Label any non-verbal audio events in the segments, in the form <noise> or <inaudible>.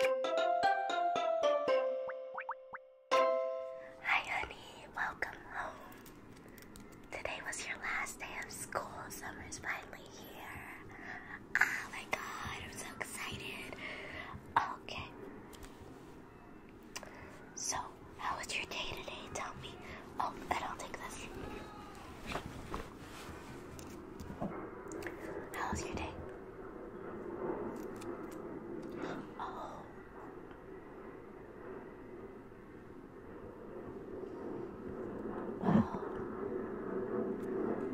Hi, honey. Welcome home. Today was your last day of school. Summer's finally here. Oh my god, I'm so excited. Okay. So, how was your day today? Tell me. Oh, I don't this. How's your day? Oh. Wow.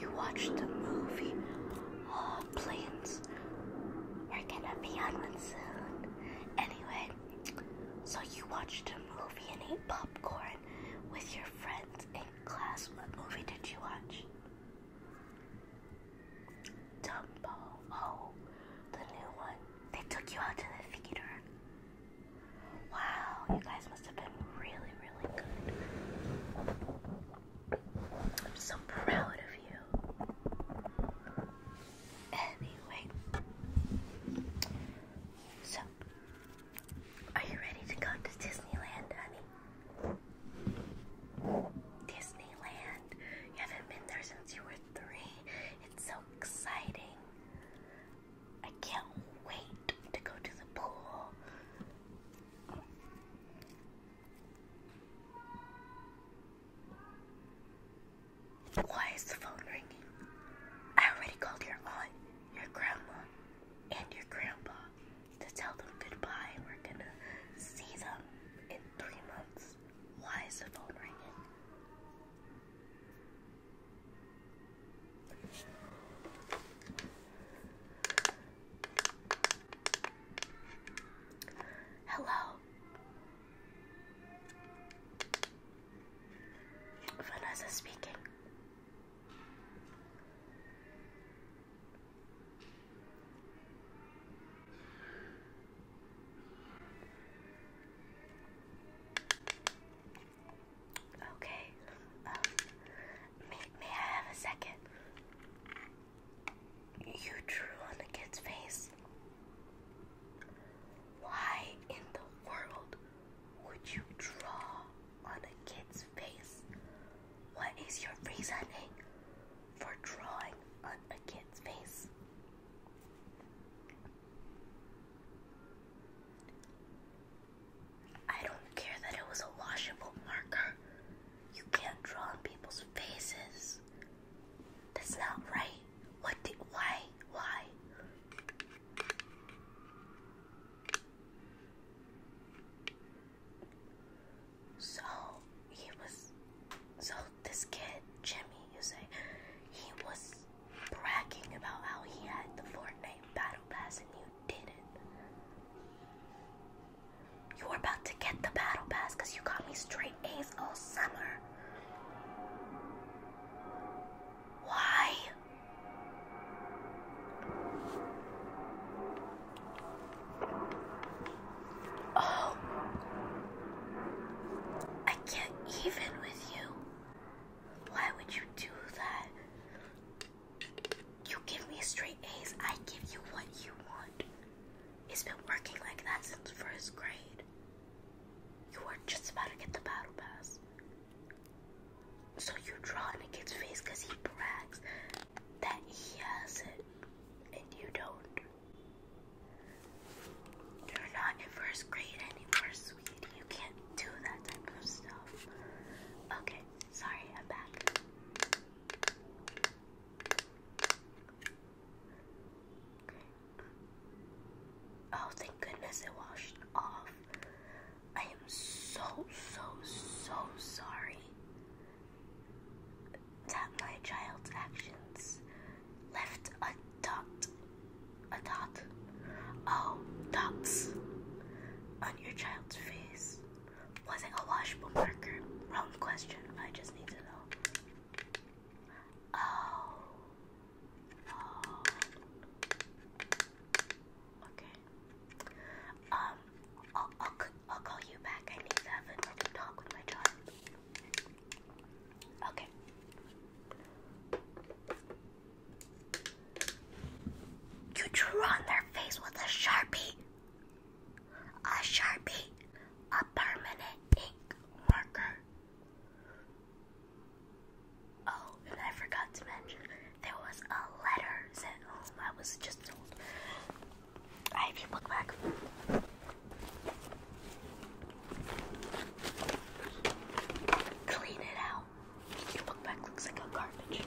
You watched a movie. Oh, planes. We're gonna be on one soon. Anyway, so you watched a movie and ate popcorn with your friends in class. What movie did you watch? Dumbo. Oh, the new one. They took you out to the theater. Wow, you guys must have been really, really good. I'm so proud of you. Anyway, so are you ready to go to Disneyland, honey? Disneyland. You haven't been there since you were three. It's so exciting. I can't wait to go to the pool. Why is the phone ringing? I already called your aunt, your grandma, and your grandpa to tell them goodbye. We're gonna see them in three months. Why is the phone ringing? Hello. Vanessa speaking. Okay. Um, may, may I have a second? You drew on the kid's face. Why in the world would you draw on a kid's face? What is your reasoning for drawing on a kid's face? I don't care that it was a washable marker. You can't draw on people's faces. That's not right. What why? Why? So he was, so this kid, Jimmy, you say, he was bragging about how he had the Fortnite Battle Pass and you didn't. You are about to get the Battle Pass because you got me straight A's all summer. Why? Oh, I can't even with you. Why would you do that? You give me straight A's, I give you what you want. It's been working like that since first grade. You were just about to get the battle pass. So you draw a kid's face he brags that he has it and you don't. You're not in first grade anymore, sweetie. You can't do that type of stuff. Okay, sorry, I'm back. Oh, thank goodness it washed off. I am so, so, so sorry that my child's actions left a dot, a dot, oh, dots on your child's face. Was it a washable marker? Wrong question. I just need to know. Oh. oh. Okay. Um, i I'll call you back. I need to have a talk with my child. Okay. You drew on their face with a sharpie. A sharpie. A permanent ink marker. Oh, and I forgot to mention there was a letter sent home. Oh, I was just told I have your book back. Clean it out. Your book bag looks like a garbage.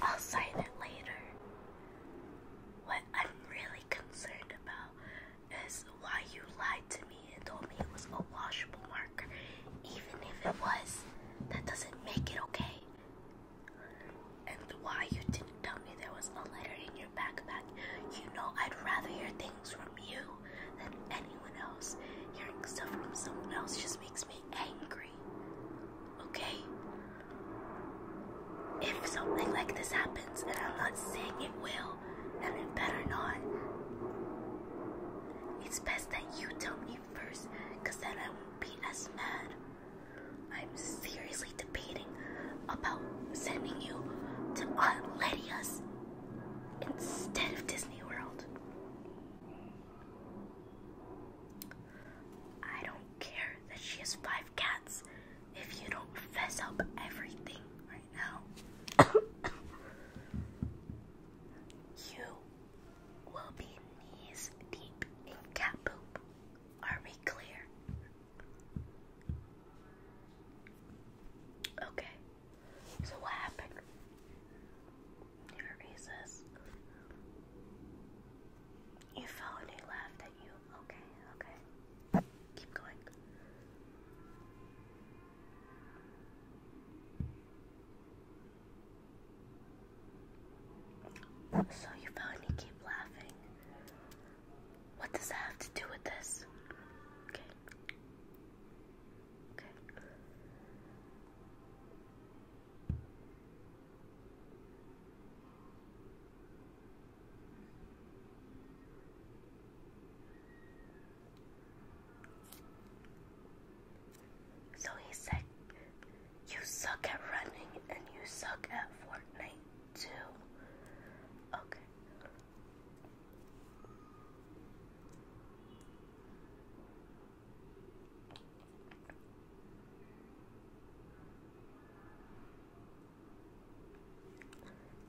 I'll sign it later. What I'm really concerned about is why you lied to me and told me it was a washable marker. Even if it was, that doesn't make it okay. And why you didn't tell me there was a letter in your backpack. You know, I'd rather hear things from you than anyone else. Hearing stuff from someone else just makes me angry. Okay? If something like this happens, and I'm not saying it will, and it better not, it's best that you tell me first, because then I won't be as mad. I'm seriously debating about sending you to Aunt Lydia's instead of Disney World. I don't care that she has five cats if you don't fess up everything right now. you will be knees deep in cat poop. Are we clear? Okay, so what happened? your faces. You fell he laughed at you. Okay, okay. Keep going. So you fell and keep laughing. What does that have to do with this? Okay. Okay. So he said, You suck at running and you suck at Fortnite too. Okay.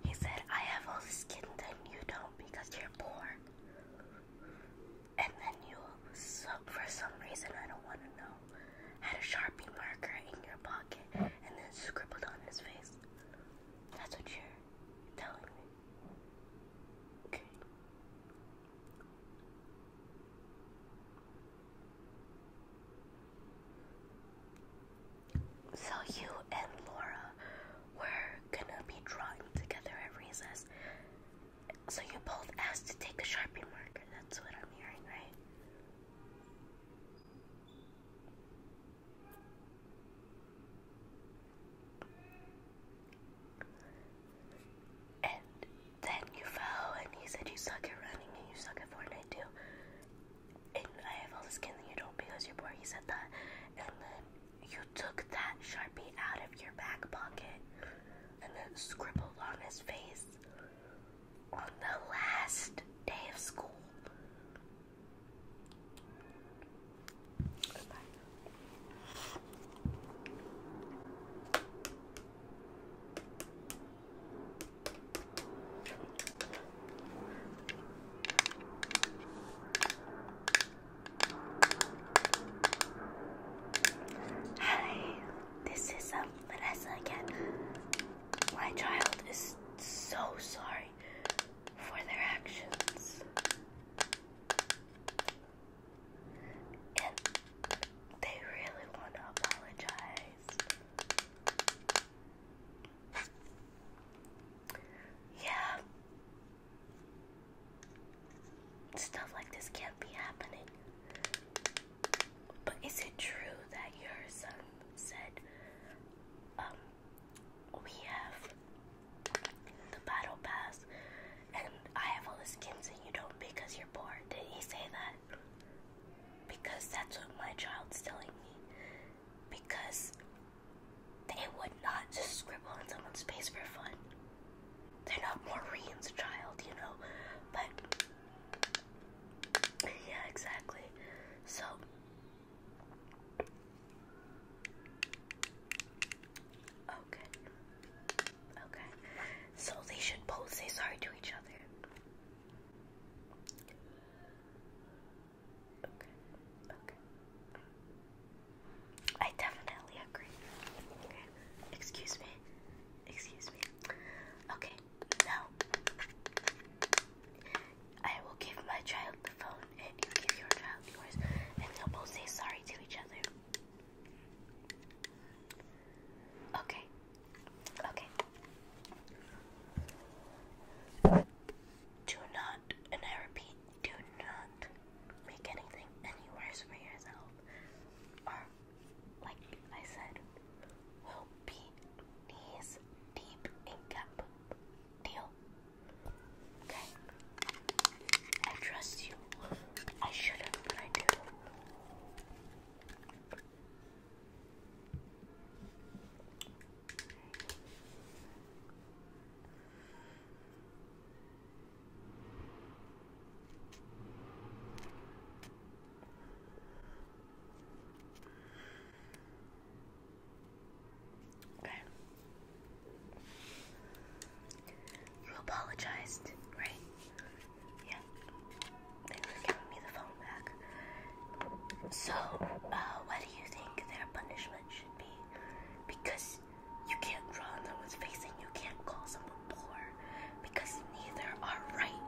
He said, I have all the skin that you don't because you're poor. And then you, suck for some reason, I don't want to know, had a Sharpie marker in your pocket and then scribbled on his face. That's what you're telling me. Okay. So you and Laura were gonna be drawing together at recess. So you both asked to take a sharpie marker. That's what I'm hearing, right? And then you fell, and he said you suck at running and you suck at Fortnite too. And I have all the skin that you don't because you're poor. He said that. And then you took that sharpie out of your back pocket and then scribbled on his face on the last day of school. Goodbye. Hi, this is um, Vanessa again. My child is so sorry for their actions. And they really want to apologize. Yeah. Stuff like this can't be happening. But is it true that your son said, um, we have the battle pass and I have all the skins and you don't because you're did he say that? Because that's what my child's telling me. Because they would not just scribble on someone's face for fun. They're not Maureen's child, you know? But, yeah, exactly. So, Okay. Okay. So they should both say sorry to each other. Okay. Okay. I definitely agree. Okay. Excuse me. Excuse me. Okay. Now I will give my child the phone and you give your child yours and they'll both say sorry to each other. Okay. Okay. Do not, and I repeat, do not make anything any worse for yourself. like I said, will be knees deep in cup. Deal. Okay. I trust you. I shouldn't, but I do. Okay. You apologized, right? Yeah. Thanks for giving me the phone back. So, uh, what do you think their punishment should be? Because you can't draw on someone's face and you can't call someone poor because neither are right.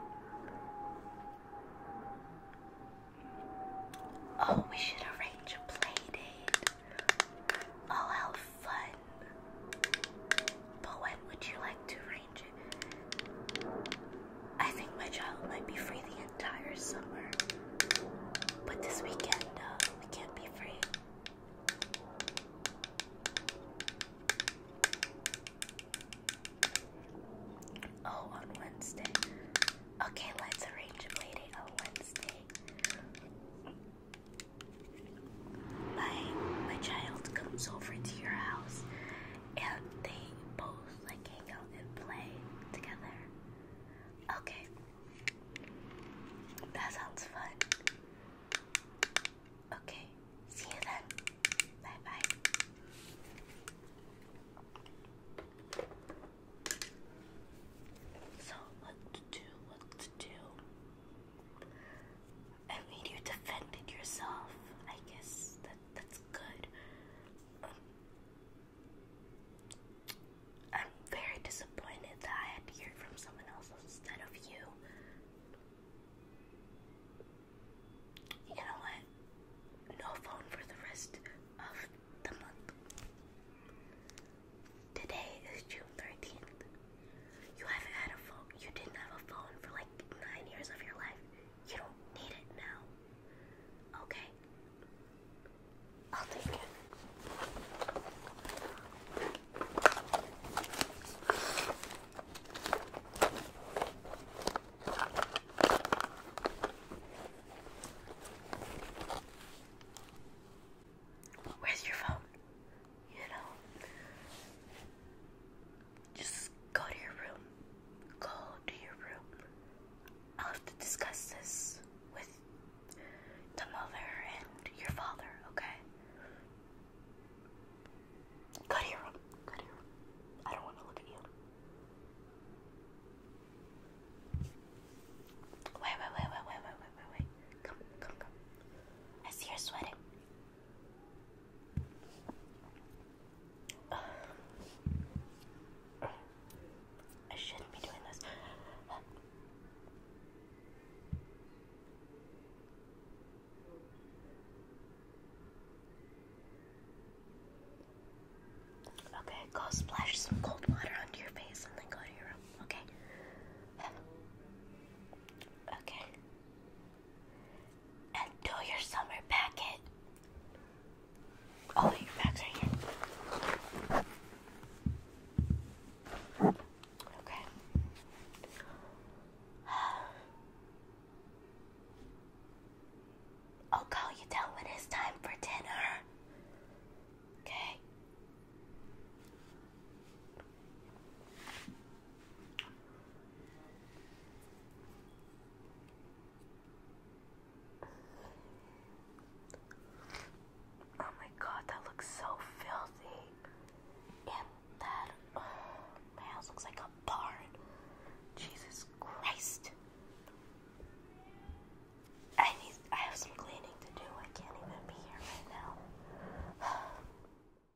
Oh, we should arrange a play date. Oh, how fun. But when would you like to arrange it? I think my child might be free the entire summer. But this weekend, we can't be free. Oh, on Wednesday. Okay, let's arrange a on Wednesday my my child comes over to your house and they both like hang out and play together. Okay. That sounds fun. Okay. See you then. Bye bye. So what to do, what to do. I mean, you defended yourself. I guess that that's good. Um, I'm very disappointed that I had to hear from someone else instead of you. You know what? No phone for the rest of the month. Today is June 13th. You haven't had a phone. You didn't have a phone for like nine years of your life. You don't need it now. Okay. I'll take it. Where's your phone? you know, just go to your room. Go to your room. i have to discuss this with the mother and your father, okay? Go to your room. Go to your room. I don't want to look at you. wait, wait, wait, wait, wait, wait, wait, wait. Come, come, come. I see you're sweating. I shouldn't be doing this. Okay, go splash some cold water onto your face and then go to your room, okay? Okay and do your summer packet. Oh, your bags are here. Okay. <sighs> I'll call you down when it's time for dinner. Okay. Oh my god, that looks so filthy. And that uh, looks like a barn. Jesus Christ. I need I have some cleaning to do. I can't even be here right now. <sighs>